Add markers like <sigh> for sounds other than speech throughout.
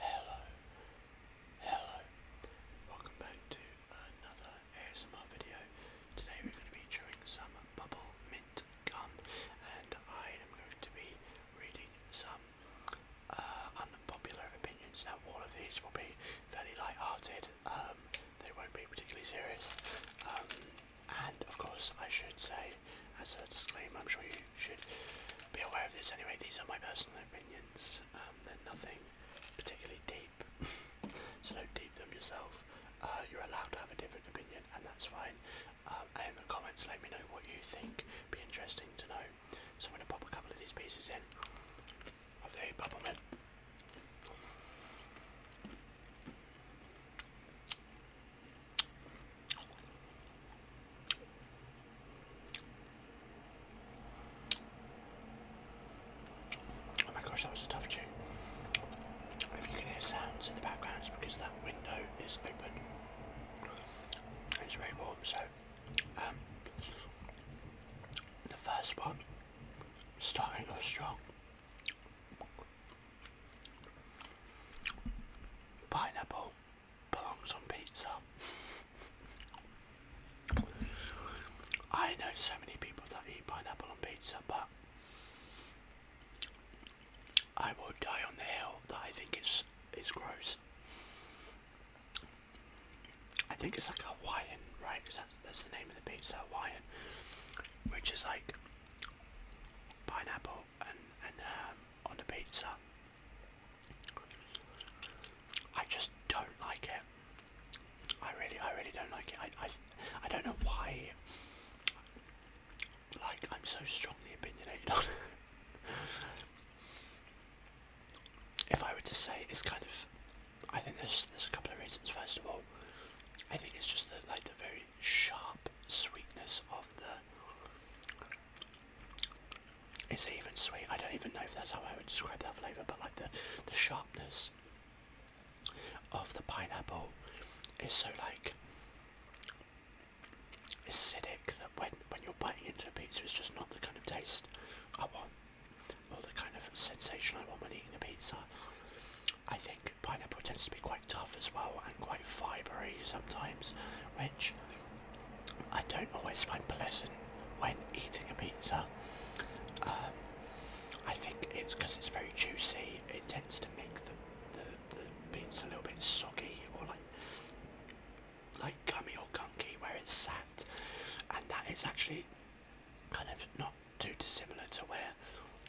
Hello, hello, hello. Welcome back to another ASMR video. Today we're going to be chewing some bubble mint gum and I am going to be reading some uh, unpopular opinions. Now all of these will be fairly light-hearted, um, they won't be particularly serious. Um, and of course I should say as a disclaimer. I'm sure you should be aware of this anyway. These are my personal opinions. Um, they're nothing particularly deep, <laughs> so don't deep them yourself. Uh, you're allowed to have a different opinion, and that's fine. Um, and in the comments, let me know what you think. Be interesting to know. So I'm gonna pop a couple of these pieces in of the bubblemint. Oh my gosh, that was a tough tune. If you can hear sounds in the background, it's because that window is open. It's very warm, so um, the first one starting off strong. Pineapple belongs on pizza. I know so many people that eat pineapple on pizza, but I will die on the hill that I think is it's gross. I think it's like Hawaiian, right? that's, that's the name of the pizza, Hawaiian, which is like pineapple and, and um, on the pizza. I just don't like it. I really, I really don't like it. I, I, I don't know why. Like I'm so strongly opinionated If I were to say, it's kind of. I think there's there's a couple of reasons. First of all, I think it's just the like the very sharp sweetness of the. It's even sweet? I don't even know if that's how I would describe that flavour, but like the, the sharpness of the pineapple is so like acidic that when, when you're biting into a pizza, it's just not the kind of taste I want or the kind of sensation I want when eating a pizza. I think pineapple tends to be quite tough as well and quite fibery sometimes, which I don't always find pleasant when eating a pizza. Um, I think it's because it's very juicy, it tends to make the, the, the a little bit soggy or like like gummy or gunky where it's sat and that is actually kind of not too dissimilar to where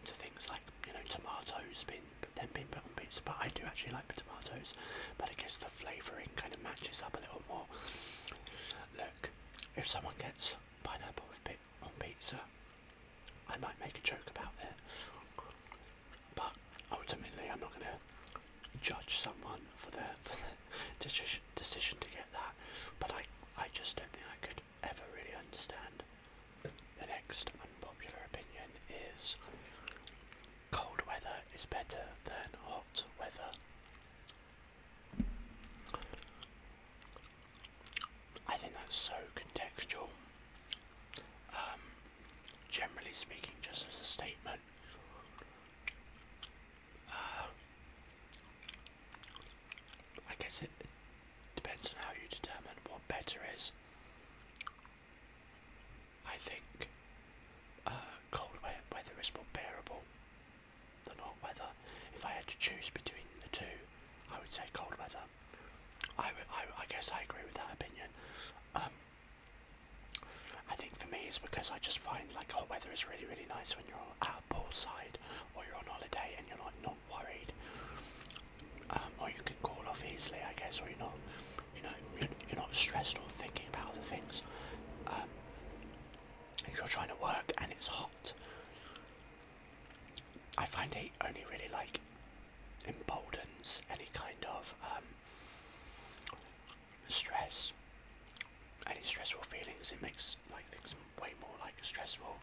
to things like you know tomatoes been then been put on pizza. But I do actually like tomatoes, but I guess the flavouring kind of matches up a little more. Look, if someone gets pineapple with pi on pizza, I might make a joke about it. But ultimately, I'm not going to judge someone for their, for their decision to get that. But I, I just don't think I could ever really understand the next unpopular opinion is cold weather is better than hot weather. I think that's so contextual. Um, generally speaking, just as a statement, uh, I guess it depends on how you determine what better is. I think uh, cold weather is more bearable than hot weather. If I had to choose between the two, I would say cold weather. I, I, guess I agree with that opinion. Um, I think for me it's because I just find like hot weather is really really nice when you're at poolside or you're on holiday and you're like not worried um, or you can call off easily, I guess, or you're not, you know, you're not stressed or thinking about other things. Um, if you're trying to work and it's hot, I find heat only really like emboldens any kind of um, stress, any stressful feelings. It makes like things way more like stressful.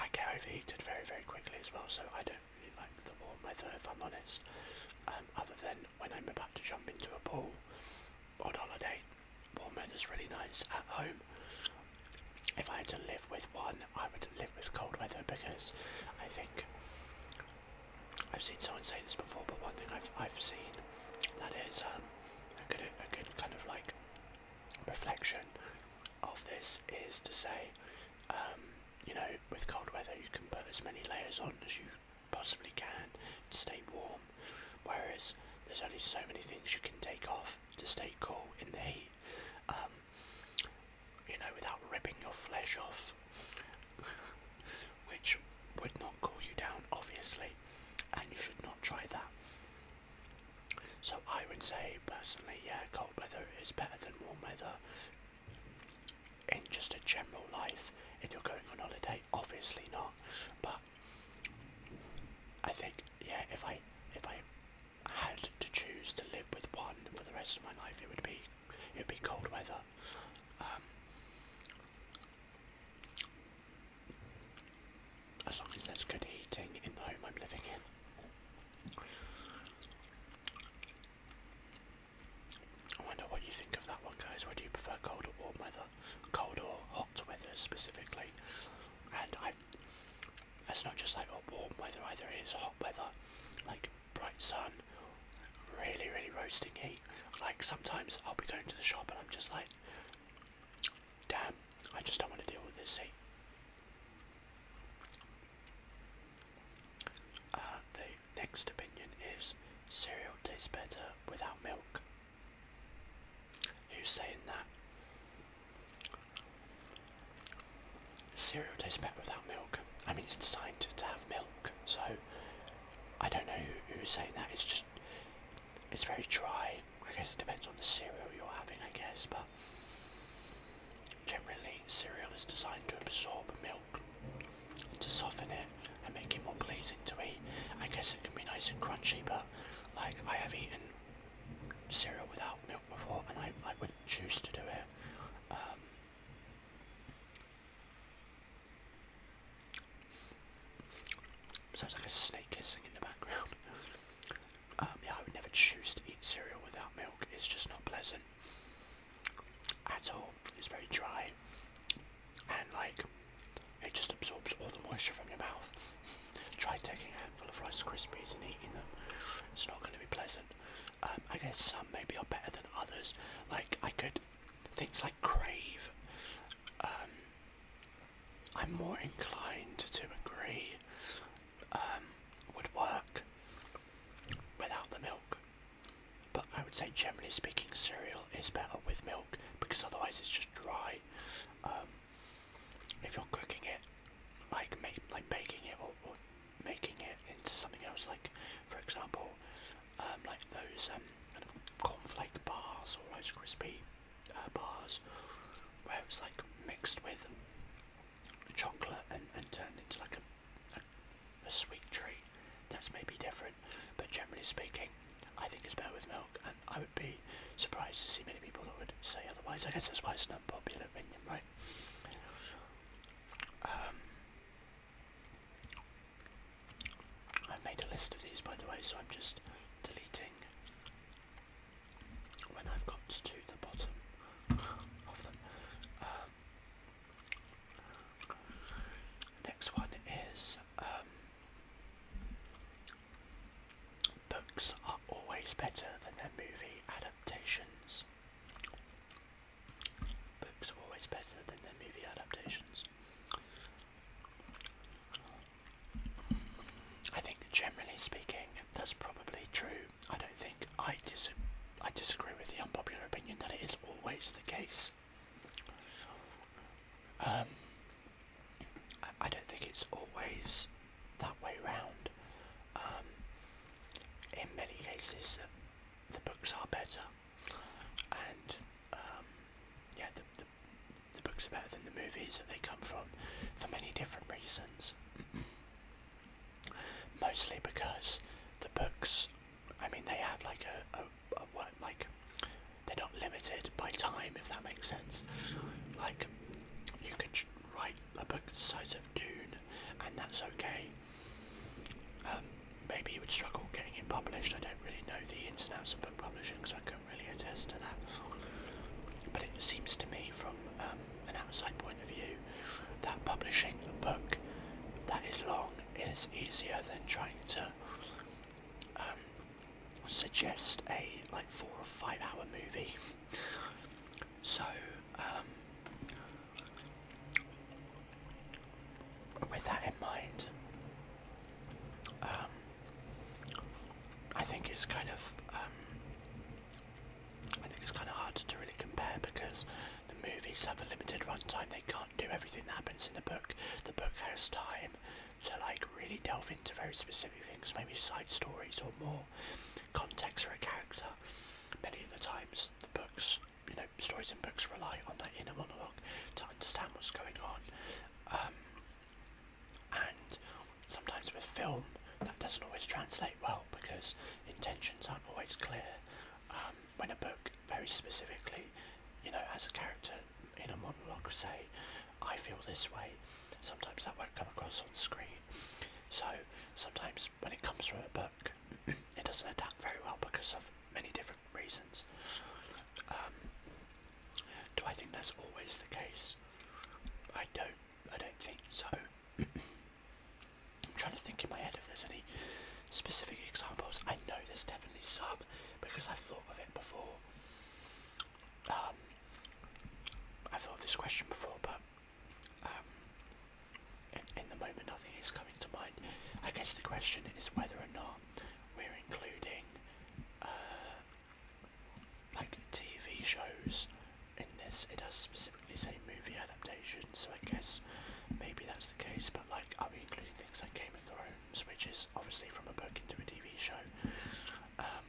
I get overheated very, very quickly as well, so I don't really like the warm weather if I'm honest. Um, other than when I'm about to jump into a pool on holiday, warm weather's really nice. At home, if I had to live with one, I would live with cold weather because I think I've seen someone say this before, but one thing I've I've seen that is um, a good a good kind of like reflection of this is to say, um, you know, with cold weather you can put as many layers on as you possibly can to stay warm, whereas there's only so many things you can take off to stay cool in the heat, um, you know, without ripping your flesh off, which would not cool you down, obviously, and you should not try that. So I would say personally, yeah, cold weather is better than warm weather in just a general life. If you're going on holiday, obviously not. But I think, yeah, if I if I had to choose to live with one for the rest of my life, it would be it would be cold weather. Um, as long as there's good heating in the home I'm living in. I wonder what you think of that one, guys. Would you prefer cold or warm weather? Cold or hot weather specifically? And I, that's not just like warm weather either. It's hot weather, like bright sun, really, really roasting heat. Like sometimes I'll be going to the shop and I'm just like, Damn, I just don't want to deal with this, see? Uh, the next opinion is cereal tastes better without milk. Who's saying that? Cereal tastes better without milk. I mean, it's designed to, have milk, so I don't know who's saying that. It's just, it's very dry I guess it depends on the cereal you're having, I guess, but generally, cereal is designed to absorb milk to soften it and make it more pleasing to eat. I guess it can be nice and crunchy, but like I have eaten cereal without milk before and I, I wouldn't choose to do it. Um, Sounds like a snake hissing in the background. Um, yeah, I would never choose to eat cereal without milk. It's just not pleasant at all. It's very dry, and like it just absorbs all the moisture from your mouth. Try taking a handful of Rice Krispies and eating them. It's not going to be pleasant. Um, I guess some maybe are better than others. Like I could things like crave. Um, I'm more inclined to agree um, would work without the milk. But I would say, generally speaking, cereal is better with milk because otherwise it's just dry. Um, if you're cooking it, like make, like baking it or, making it into something else, like for example, um, like those cornflake bars or crispy. Uh, bars where it's like mixed with chocolate and, and turned into like a, a, sweet treat. That's maybe different, but generally speaking, I think it's better with milk, and I would be surprised to see many people that would say otherwise. I guess that's why it's an unpopular opinion, right? Um, I've made a list of these by the way, so I'm just deleting when I've got to the bottom of them. Um, next one is um, books are always better than their movie adaptations. Books are always better than their movie adaptations. I think generally speaking, that's probably true. I don't think I dis I disagree with the unpopular opinion that it is always the case. Um, I, I don't think it's always that way round. Um, in many cases, uh, the books are better, and um, yeah, the, the the books are better than the movies that they come from for many different reasons. <clears throat> Mostly because the books, I mean, they have like a, a, a like, they're not limited by time, if that makes sense. Like, you could write a book the size of Dune, and that's okay. Um, maybe you would struggle getting it published. I don't really know the ins and outs of book publishing, so I can really attest to that. But it seems to me, from um, an outside point of view, that publishing a book that is long is easier than trying to um, suggest a like four or five hour movie. So, um, with that in mind, um, I think it's kind of um, I think it's kind of hard to really compare because the movies have a limited runtime. They can't do everything that happens in the book. The book has time to like really delve into very specific things, maybe side stories or more context for a character. Many of the times, the books, you know, stories in books rely on that inner monologue to understand what's going on. Um, and sometimes with film, that doesn't always translate well because intentions aren't always clear. Um, when a book very specifically, you know, has a character in a monologue say, I feel this way, sometimes that won't come across on screen. So sometimes when it comes from a book, <clears throat> it doesn't adapt very well because of many different reasons. Um, do I think that's always the case? I don't. I don't think so. <clears throat> I'm trying to think in my head if there's any specific examples. I know there's definitely some because I've thought of it before. Um, I've thought of this question before, but um, in the moment, nothing is coming to mind. I guess the question is whether or not we're including uh, like TV shows in this. It does specifically say movie adaptations, so I guess maybe that's the case. But like, I'll be including things like Game of Thrones, which is obviously from a book into a TV show, um,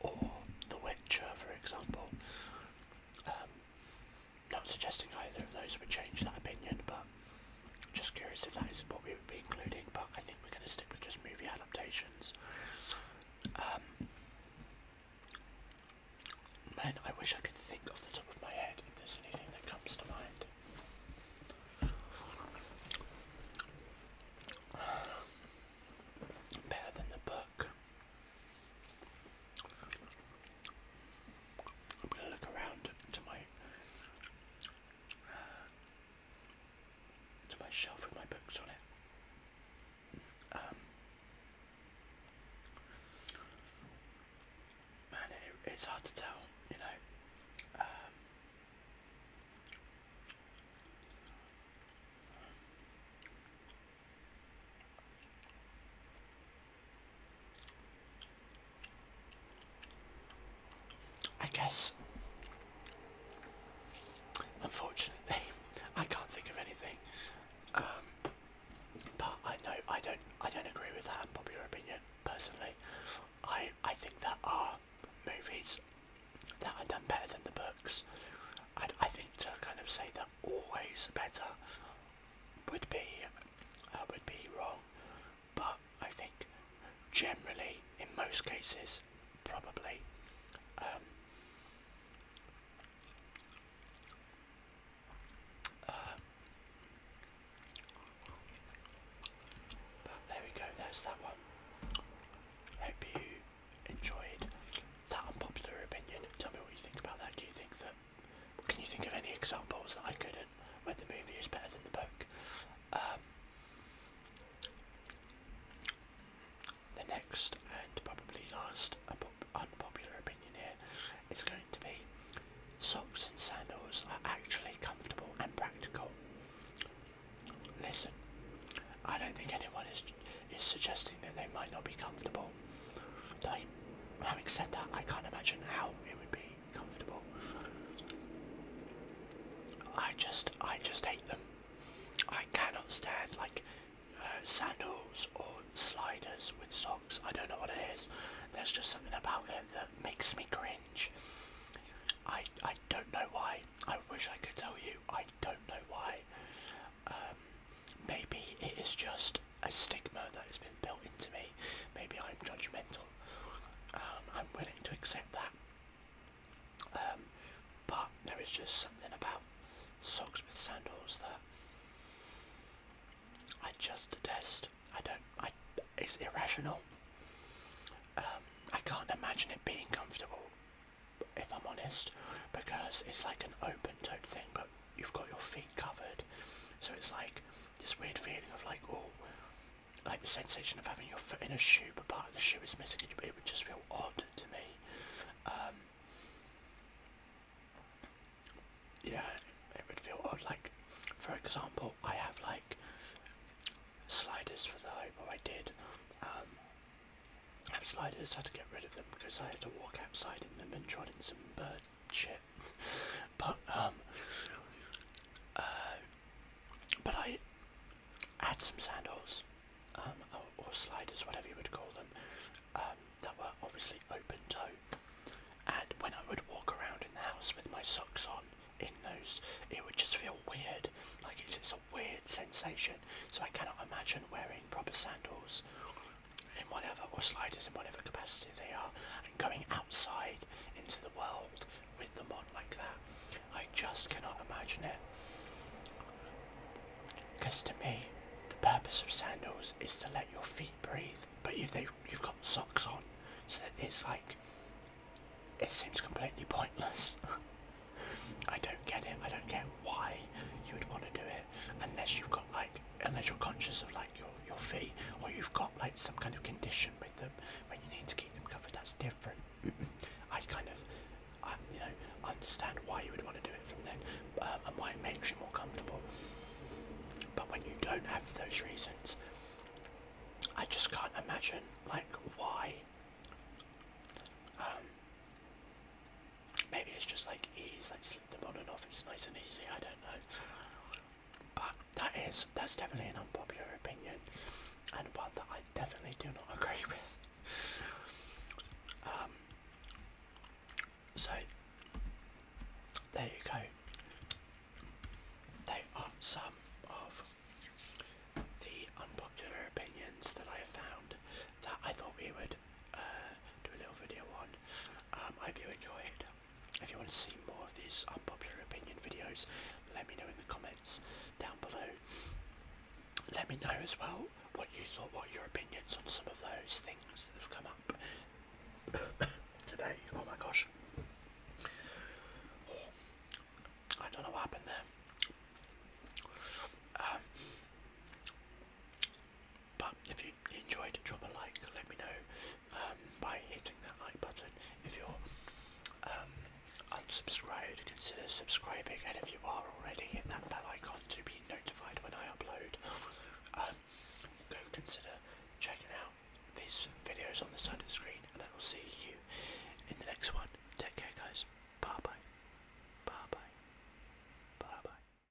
or The Witcher, for example. Um, not suggesting either of those would change that opinion, but just curious if that is what we would be including, but I think we're going to stick with just movie adaptations. Um, man, I wish I could think off the top of my head if there's anything that comes to mind. <sighs> better than the book. I'm going to look around to my <sighs> to my shelf with my books on it. Um, man, it's hard to tell, you know. Um, I guess, unfortunately, I can't think of anything. Um, but I know I don't I don't agree with that popular opinion personally. I I think there are movies that are done better than the books. I I think to kind of say that always better would be uh, would be wrong but I think generally, in most cases, probably. but um, uh, there we go, there's that one. Hope you enjoyed that unpopular opinion. Tell me what you think about that. Do you think that can you think of any examples that I couldn't where the movie is better than the book? Um, the next and probably last unpopular opinion here is going to be socks and sandals are actually comfortable and practical. Listen, I don't think anyone is is suggesting that they might not be comfortable. They, having said that, I can't imagine how it would be comfortable. I just, I just hate them. I cannot stand like uh, sandals or sliders with socks. I don't know what it is. There's just something about it that makes me cringe. I, I don't know why. I wish I could tell you. I don't know why. Um, maybe it is just a stigma that has been built into me. Maybe I'm judgmental. Um, I'm willing to accept that. Um, but there is just something about socks with sandals that I just detest. I don't. I. It's irrational. Um, I can't imagine it being comfortable, if I'm honest, because it's like an open-toed thing, but you've got your feet covered. So it's like this weird feeling of like, oh, like the sensation of having your foot in a shoe, but part of the shoe is missing. It would just feel odd to me. Um, yeah, it would feel odd. Like, for example, I have like sliders for the home, or I did. Um, have sliders, had to get rid of them because I had to walk outside in them and trod in some bird shit. But um, uh, but I had some sandals, um, or, sliders, whatever you would call them, um, that were obviously open toe. And when I would walk around in the house with my socks on in those, it would just feel weird. Like it's, it's a weird sensation. So I cannot imagine wearing proper sandals in whatever, or sliders in whatever capacity they are, and going outside into the world with them on like that. I just cannot imagine it. Because to me, the purpose of sandals is to let your feet breathe, but if they, you've got socks on, so that it's like, it seems completely pointless. <laughs> I don't get it. I don't get why you would want to do it unless you've got like, unless you're conscious of like your your feet, or you've got like some kind of condition with them when you need to keep them covered. That's different. <clears throat> I kind of, I, you know, understand why you would want to do it from then, um, and why it makes you more comfortable. But when you don't have those reasons, I just can't imagine like why. Um, maybe it's just like ease, like on and off office nice and easy, I don't know. But that is that's definitely an unpopular opinion and one that I definitely do not <laughs> agree with. Um, so there you go. They are some of the unpopular opinions that I have found that I thought we would uh, do a little video on. Um, I hope you enjoyed. If you want to see more of these unpopular opinion videos, let me know in the comments down below. Let me know as well what you thought, what your opinions on some of those things that have come up <coughs> today. Oh my gosh. I don't know what happened there. Um, but if you enjoyed, drop a like. Let me know um, by hitting that like button. If you're um, unsubscribed, consider subscribing. And if you are already, hit that bell icon to be notified when I upload. Um, go consider checking out these videos on the side of the screen, and I will see you in the next one. Take care, guys. Bye bye. Bye bye. Bye bye.